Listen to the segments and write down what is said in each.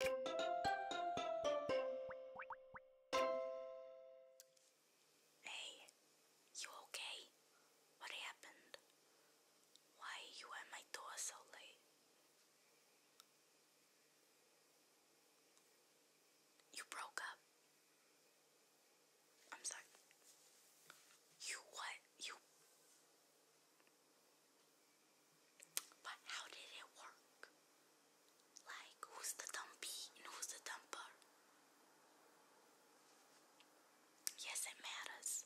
Hey, you okay? What happened? Why you at my door so late? You broke up. I'm sorry. You what? You but how did it work? Like, who's the dumpy and who's the dumper? Yes, it matters.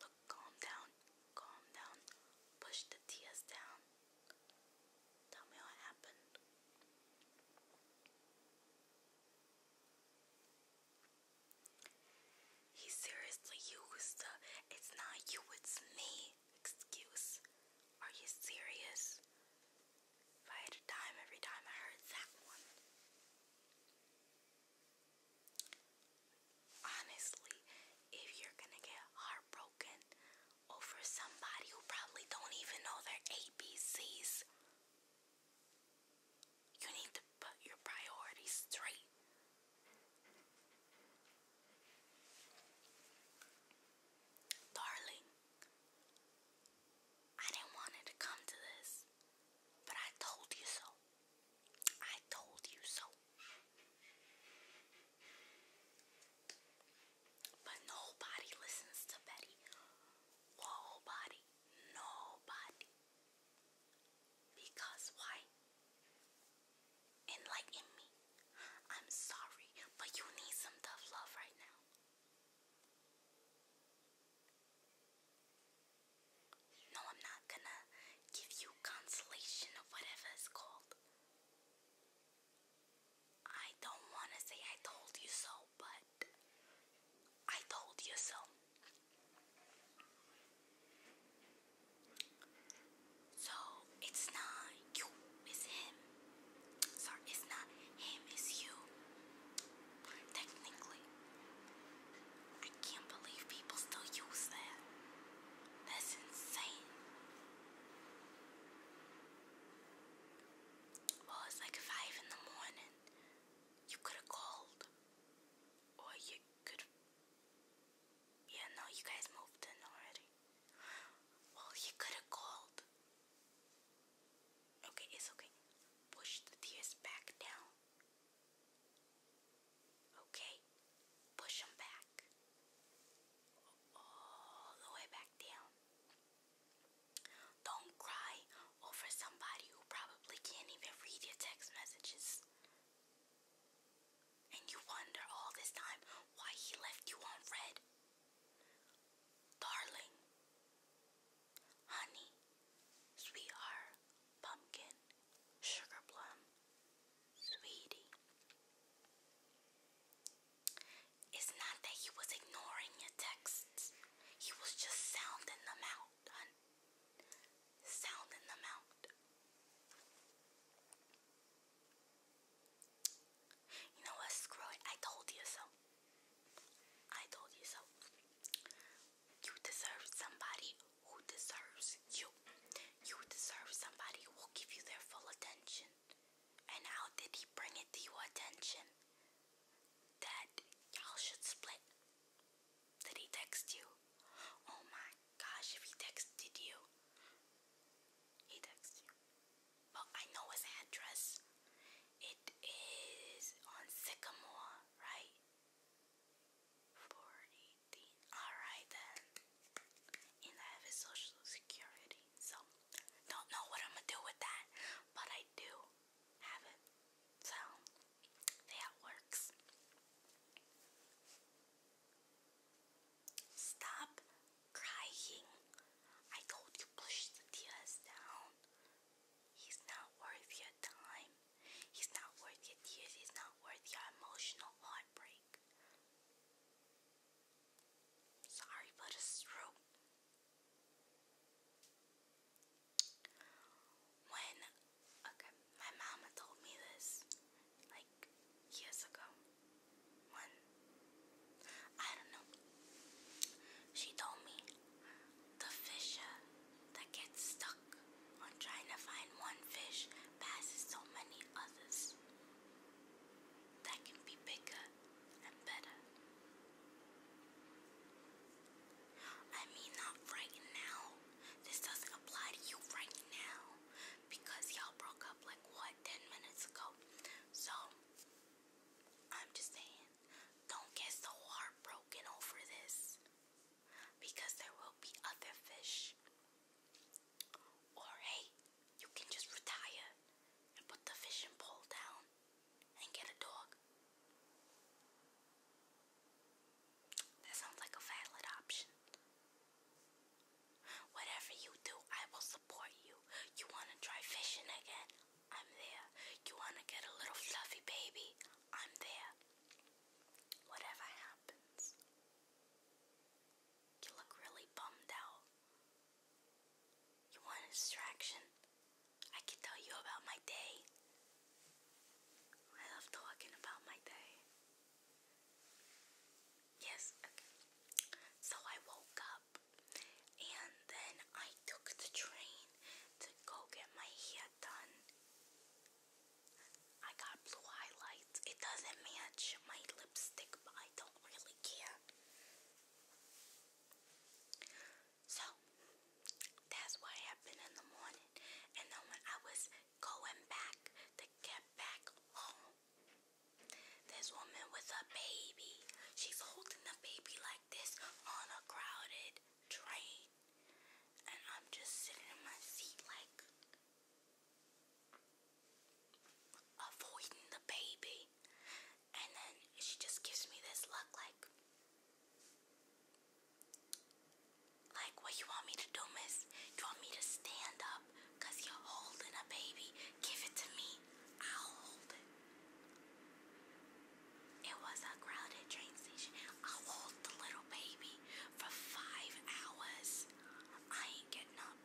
Look, calm down, calm down. Push the tears down. Tell me what happened. He seriously used it's not you, it's me excuse. Are you serious? I had a dime every time I heard that one. Honestly, if you're gonna get heartbroken over somebody who probably don't even know their ABCs, you need to put your priorities straight. Darling, I didn't want it to come to this, but I told you so. I told you so. But nobody listens to Betty. Nobody. Nobody. Because why? Enlighten me. I'm sorry, but you need some tough love right now. No, I'm not gonna give you consolation or whatever it's called. I don't wanna say I told you so, but I told you so. So it's not you, it's him. Sorry, it's not him, it's you. Technically, I can't believe people still use that. That's insane. Well, it's like five in the morning. You could have called, or you could yeah, no, you guys moved in already. Well, he could have called. Okay, it's okay. Push the tears back down. Okay, push them back. All the way back down. Don't cry over somebody who probably can't even read your text messages. And you wonder all this time why he left you on red. Darling, honey, sweetheart, pumpkin, sugar plum, sweetie. It's not that he was ignoring your texts, he was just sounding them out, hun sound in the mouth. You know what? Screw I told you so. I told you so. You deserve somebody who deserves you. You deserve somebody who will give you their full attention. And how did he bring it to your attention? That y'all should split. Did he text you? Oh my gosh, if he texted you, he texted you. Well, I know his address. It is on Sycamore, right? 418. Alright then. And I have his social security, so don't know what I'm gonna do with that, but I do have it. So that works. Stop crying. I told you push the tears down. He's not worth your time. He's not worth your tears. He's not worth your emotional heartbreak. Sorry, but it's true. When, okay, my mama told me this like years ago. When, I don't know, she told me the fish uh, that gets stuck on trying to find one fish passes so many others that can be bigger and better. I mean, not right now. This doesn't apply to you right now because y'all broke up like what, 10 minutes ago. So, I'm just saying, don't get so heartbroken over this because there will be other fish. Or, hey, you can just retire and put the fishing pole down and get a dog. That sounds like a valid option. Whatever you do, I will support you. You want to try fishing again? I'm there. You want to get a little fluffy baby? I'm there. Whatever happens. You look really bummed out. You want distraction? I can tell you about my day. I love talking about my day. Yes, So I woke up and then I took the train to go get my hair done. I got blue highlights. It doesn't match my lipstick, but I don't really care. So that's what happened in the morning. And then when I was going back to get back home, this woman with a baby, she's holding the baby like this on a crowded train. And I'm just sitting in my seat like avoiding the baby. And then she just gives me this look like, like what you want me to do, miss? You want me to stand up because you're holding a baby? Give it to me. I'll hold it. It was a crowded train station. I'll hold the little baby for five hours. I ain't getting up.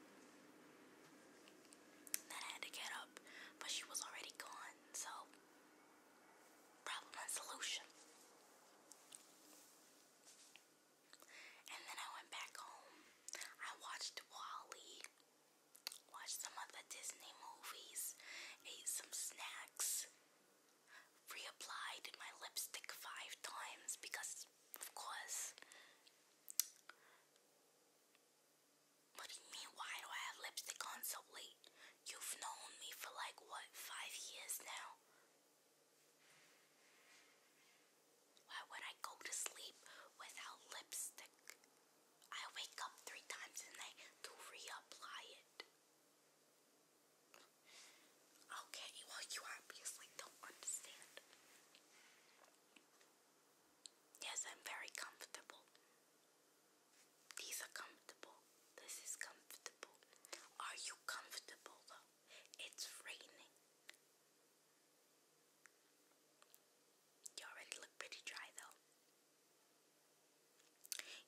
Then I had to get up, but she was already gone, so problem and solution. And then I went back home. I watched Wally, watched some other Disney movies, ate some snacks, reapplied my lipstick five times because, of course, what do you mean, why do I have lipstick on so late? You've known me for like, what, five years now? Why would I go to sleep without lipstick? I wake up three times a night to reapply it. Okay, well, you obviously don't understand. Yes, I'm very comfortable. These are comfortable. This is comfortable. Are you comfortable though? It's raining. You already look pretty dry though.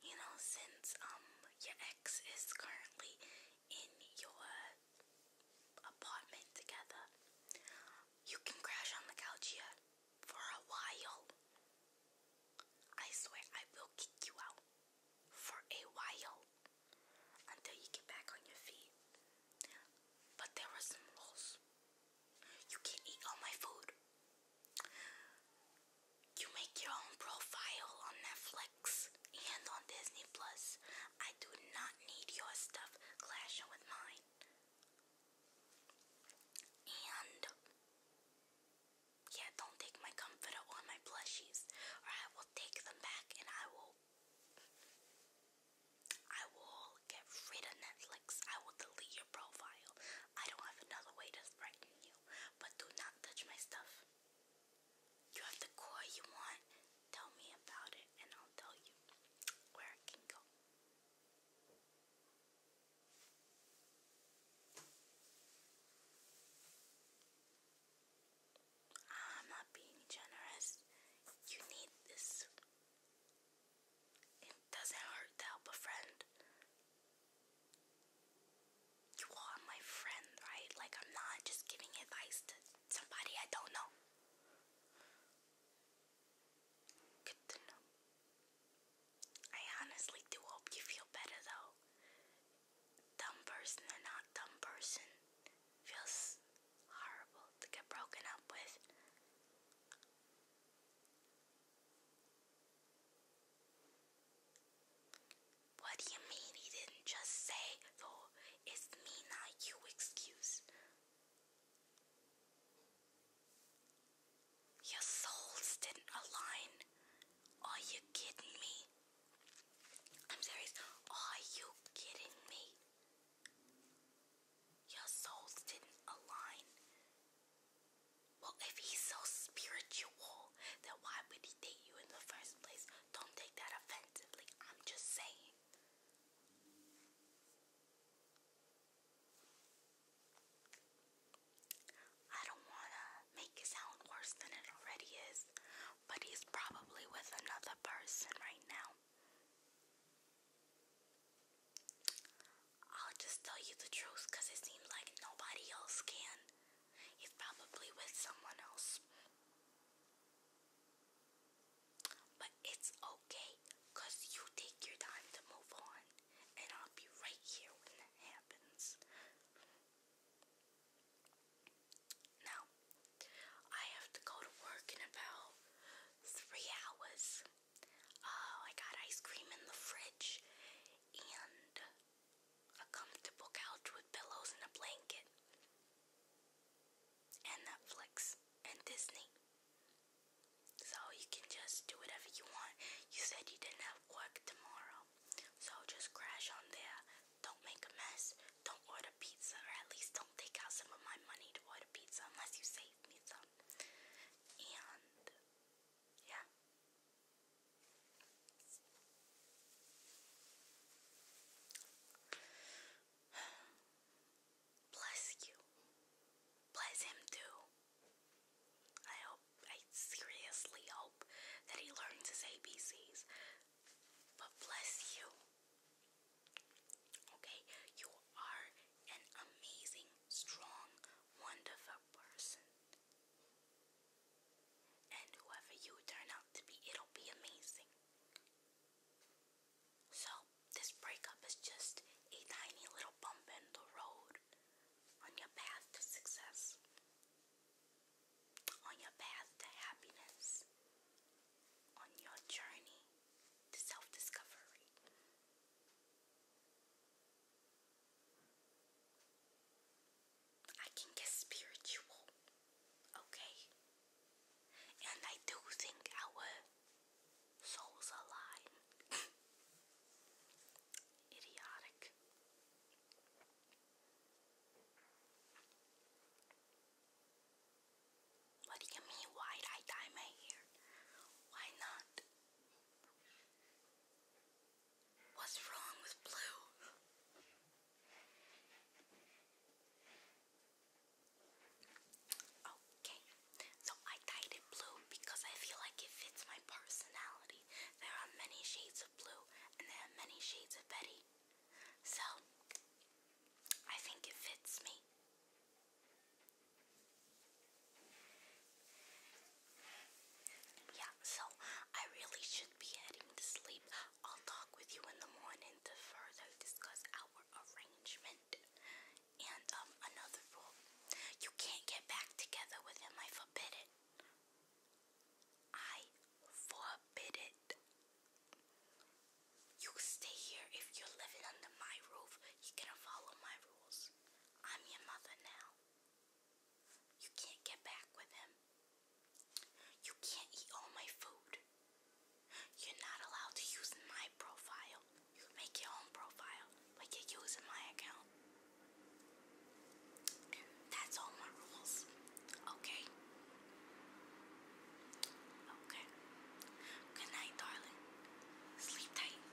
You know, since um your ex is currently in your apartment together, you can crash on the couch here for a while. I swear I will kick you out for a while until you get back on your feet. But there are some rules. You can't eat all my food. You make your own profile on Netflix and on Disney Plus. I do not need your stuff clashing with mine. And yeah, don't take my comforter or my plushies, or I will take them back and I will I will get rid of Netflix. I will delete your profile. I don't have another way to threaten you. But do not touch my stuff. You have the core you want, Tell me about it and I'll tell you where it can go. I'm not being generous. You need this. It doesn't hurt to help a friend. You are my friend, right? Like, I'm not just giving advice to somebody I don't know. Good to know. I honestly do hope you feel better though. Dumb person or not dumb person feels horrible to get broken up with. What do you mean he didn't just say though it's me, not you. Excuse. Your souls didn't align. Are you kidding me? I'm serious. Are you kidding me? Your souls didn't align. Well, if he's so spiritual, then why would he date you in the first place? Don't take that offensively. I'm just saying. I don't want to make it sound worse than it already is, but he's probably with another person right now. I'll just tell you the truth it seems like nobody else can. He's probably with someone else. But it's okay because you take your time to move on, and I'll be right here when that happens. Now, I have to go to work in about three hours. Oh, I got ice cream in the fridge and a comfortable couch with pillows and a blanket and Netflix and Disney. So you can just do whatever you want. You said you didn't have work tomorrow. So just crash on there. Don't make a mess. Don't order pizza or at least don't take out some of my money to order pizza unless you save me some. And yeah. Bless you. Bless him too. I hope, I seriously hope that he learns his ABCs. But bless you. Okay, you are an amazing, strong, wonderful person. And whoever you turn out to be, it'll be amazing. So, this breakup is just a tiny little bump in the road on your path to success, on your path to happiness, on your journey to self discovery. I can get spiritual, okay? And I do think our souls align. Idiotic. What do you mean, why did I dye my hair? Why not? What's wrong with Blue? Okay, so I dyed it blue because I feel like it fits my personality. There are many shades of blue and there are many shades of Betty. So, I think it fits me. Yeah, so I really should be heading to sleep. I'll talk with you in the morning to further discuss our arrangement. And um, another rule. You can't get back together with him. I forbid it. I forbid it. You stay here if you're living under my roof. You gonna follow my rules. I'm your mother now. You can't get back with him. You can't eat all my food. You're not allowed to use my profile. You can make your own profile, but you're using my account. That's all my rules. Okay? Okay. Good night, darling. Sleep tight.